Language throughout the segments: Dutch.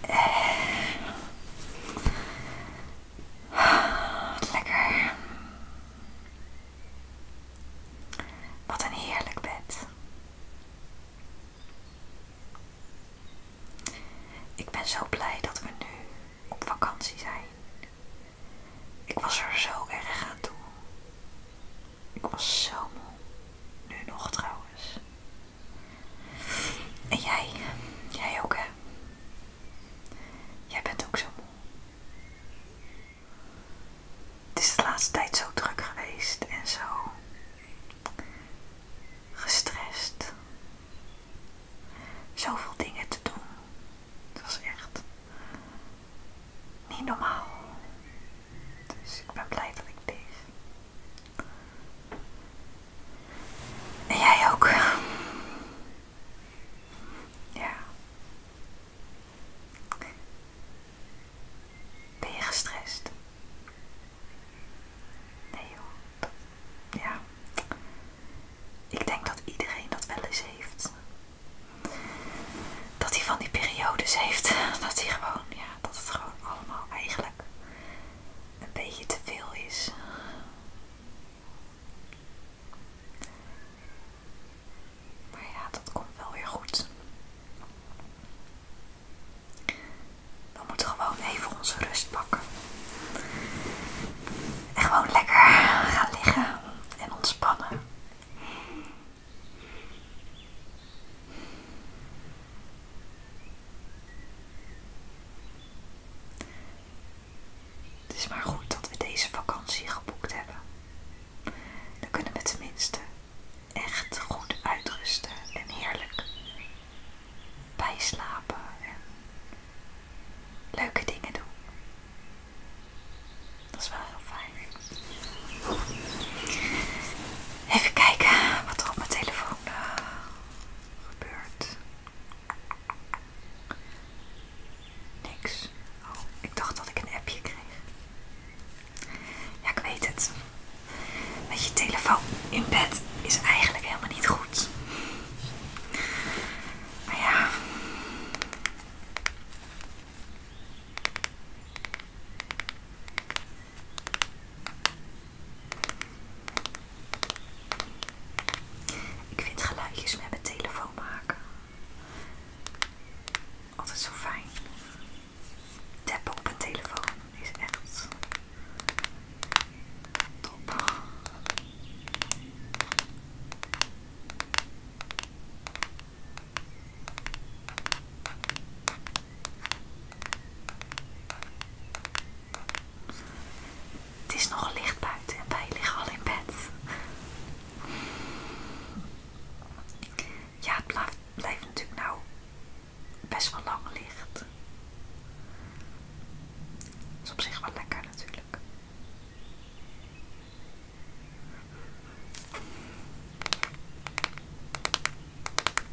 Wat lekker. Wat een heerlijk bed. Ik ben zo blij dat we nu op vakantie zijn. Ik was er zo erg aan toe. Ik was zo moe. Nu nog trouwens. En jij, jij ook hè? Jij bent ook zo moe. Het is de laatste tijd zo druk geweest en zo gestrest. Zoveel dingen te doen. Het was echt niet normaal. Dus ik ben blij dat ik dit. En jij ook. Ja. Ben je gestrest? Nee joh. Ja. Ik denk dat iedereen dat wel eens heeft. Dat hij van die periodes heeft. Dat hij gewoon, ja, dat het gewoon allemaal eigenlijk een beetje te veel is. Maar ja, dat komt wel weer goed. We moeten gewoon even onze rust pakken. En gewoon lekker gaan liggen en ontspannen. Het is maar goed dat we deze vakantie geboekt hebben. Dan kunnen we tenminste echt goed uitrusten en heerlijk bijslapen en leuke dingen doen. Dat is wel heel fijn. Even kijken wat er op mijn telefoon eh, gebeurt. Niks. Oh, ik dacht dat ik een appje kreeg. Ja, ik weet het. Met je telefoon in bed is eigenlijk helemaal niet goed. Maar ja. Ik vind geluidjes met mijn telefoon maken altijd zo fijn. Tappen op een telefoon is echt top. Het is nog licht buiten en wij liggen al in bed. Ja, het blijft, natuurlijk nou best wel lang licht. is op zich wel lekker natuurlijk.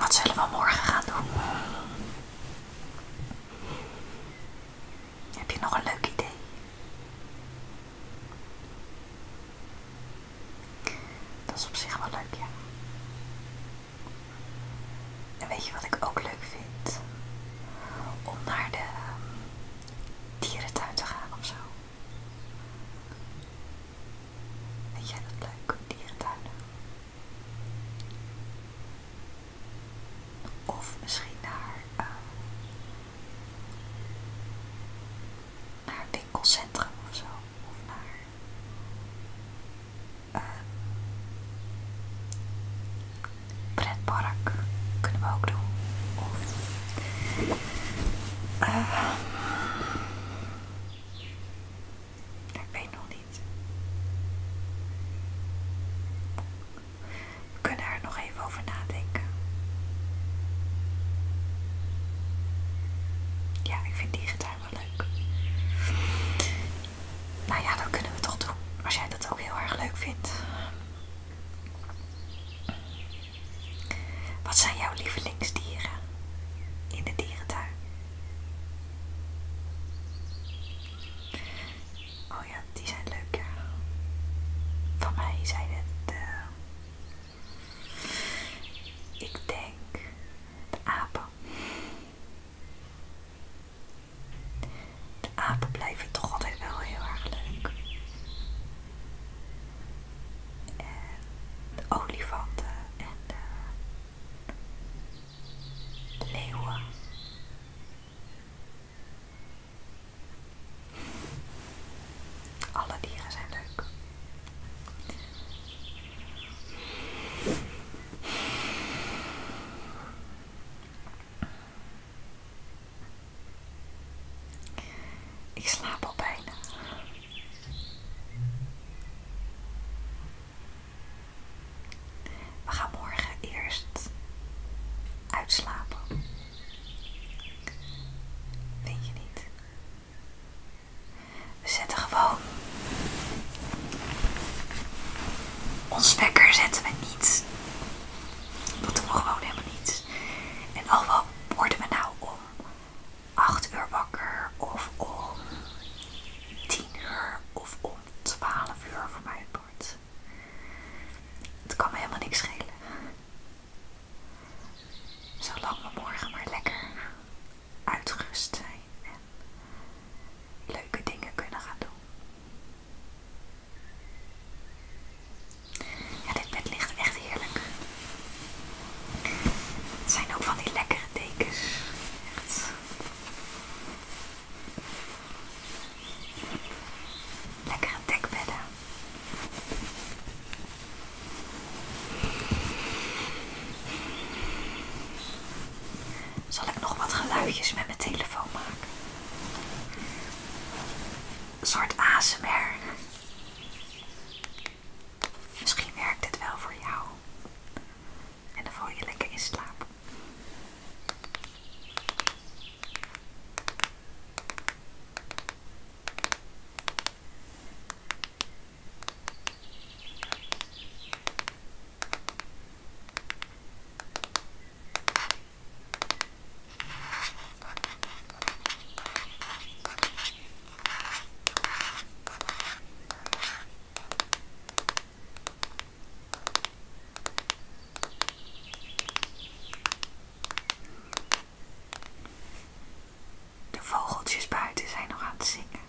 Wat zullen we morgen gaan doen? Heb je nog een leuk idee? Dat is op zich wel leuk, ja. En weet je wat ik ook leuk vind? Om naar de ehm, dierentuin te gaan of zo. Vind jij dat leuk, Dieren tuin Of misschien naar, uh, naar winkelcentrum of zo. Of naar uh, pretpark kunnen we ook doen. Of eh, ik weet nog niet. We kunnen er nog even over nadenken. Ja, ik vind die gitaar wel leuk. Nou ja, dat kunnen we toch doen. Als jij dat ook heel erg leuk vindt. Wat zijn jouw lievelingsdieren in de dierentuin? Oh ja, die zijn leuk, ja. Van mij zijn het. Eh, ik denk de apen. De apen blijven toch altijd wel heel erg leuk. En eh, de olifanten en de leeuwen. Alle dieren zijn leuk. Ik slaap al bijna. We gaan morgen eerst uitslapen. Denk je niet? We zetten gewoon. Ons wekker zetten we niet. Dat doen we gewoon helemaal niet. En al wat worden we nou om 8 uur wakker of om 10 uur of om 12 uur voor mij wordt. Het kan me helemaal niks schelen. Zolang we morgen maar lekker uitgerust zijn en leuke dingen kunnen gaan doen. Ja, dit bed ligt echt heerlijk. Het zijn ook van die lekkere dekens. Echt. Lekkere dekbedden. Zal ik nog wat geluidjes met mijn telefoon maken? Een soort ASMR. Misschien werkt het wel voor jou. En dan voel je lekker in slaap. De vogeltjes buiten zijn nog aan het zingen.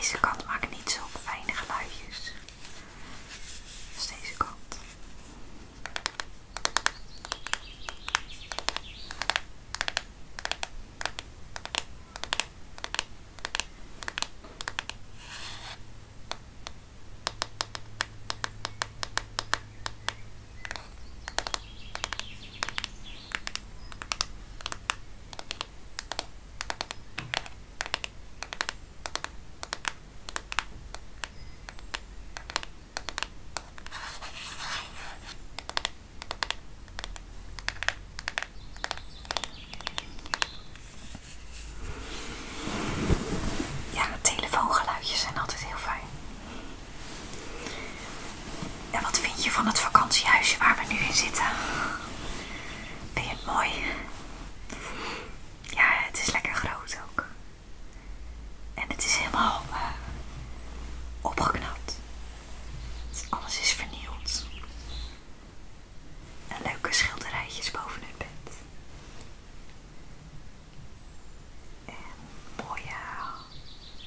Deze kat maakt niet zo fijne geluidjes. Is deze kant. Ja, telefoongeluidjes zijn altijd heel fijn. En wat vind je van het vakantiehuisje waar we nu in zitten? Vind je het mooi? Ja, het is lekker groot ook. En het is helemaal eh, opgeknapt. Dus alles is vernield. En leuke schilderijtjes boven het bed. En mooie...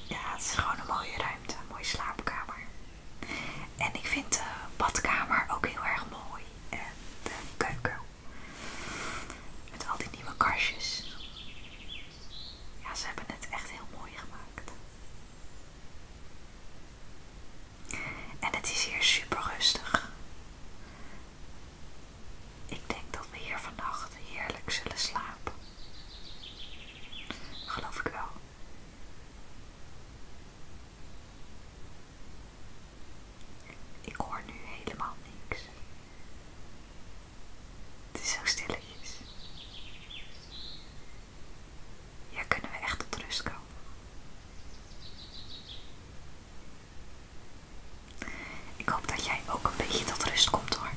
Ja, het is gewoon een mooie ruimte. Een mooie slaapkamer. En ik vind de badkamer ook heel erg mooi en de eh, keuken. Met al die nieuwe kastjes. Ja, ze hebben het echt heel mooi gemaakt. En het is hier super rustig. Ik denk dat we hier vannacht heerlijk zullen slapen. Geloof ik wel. Ik hoor nu helemaal niks. Het is zo stilletjes. Hier kunnen we echt tot rust komen. Ik hoop dat jij ook een beetje tot rust komt hoor.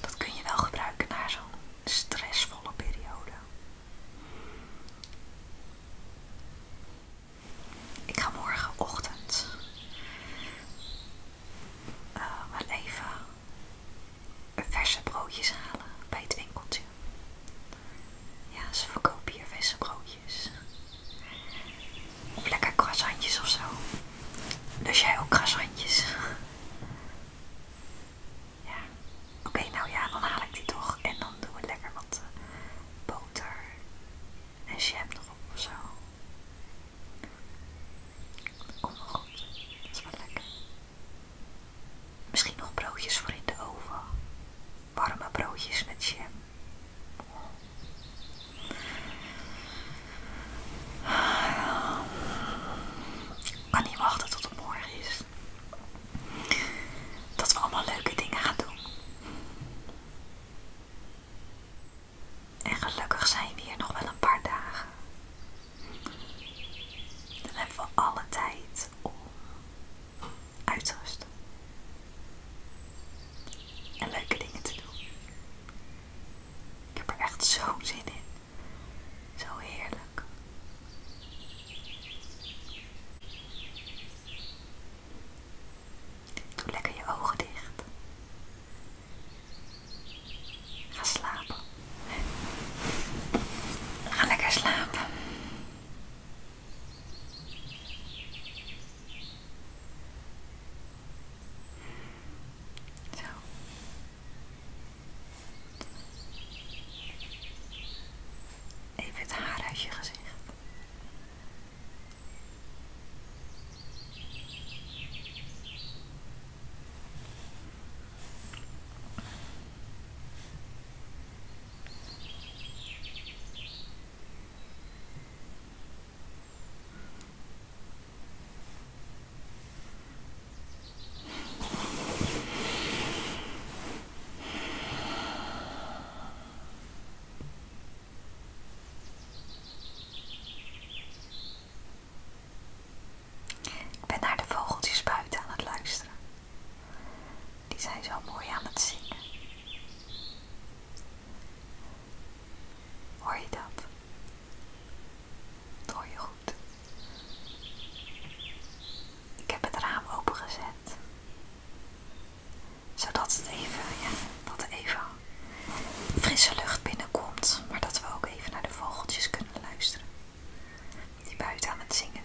Dat kun je wel gebruiken na zo'n stressvolle periode. Ik ga morgenochtend eh, wel even verse broodjes halen bij het winkeltje. Ja, ze verkopen hier verse broodjes. Of lekker croissantjes of zo. Dus jij ook croissantjes? Ja, Oké, nou ja, dan haal ik die toch. En dan doen we lekker wat eh, boter en jam erop of zo. Kom maar. goed. Dat is wel lekker. Misschien nog broodjes voor in de oven. Warme broodjes met jam. Maar ah, kan niet wachten tot het morgen is. Dat we allemaal leuke dingen gaan doen. En gelukkig zijn we hier nog wel een paar dagen. Dan hebben we alle tijd om uit te rusten. En leuke dingen te doen. Ik heb er echt zo'n zin in. Zo heerlijk. Doe lekker je ogen dicht. Ga slapen. Ga lekker slapen. Zo even het haar uit je gezicht. Ik ben naar de vogeltjes buiten aan het luisteren. Die zijn zo mooi aan het zingen. Hoor je dat? Dat hoor je goed. Ik heb het raam opengezet zodat het even, ja, dat even frisse lucht binnenkomt. Maar dat we ook even naar de vogeltjes kunnen luisteren. Die buiten aan het zingen zijn.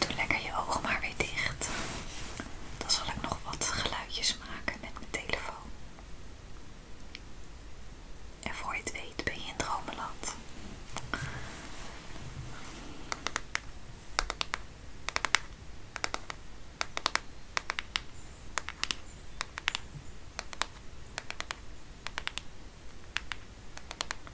Doe lekker je ogen maar weer dicht. Dan zal ik nog wat geluidjes maken met mijn telefoon. En voor je het weet ben je in dromenland.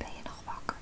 Ben je nog wakker?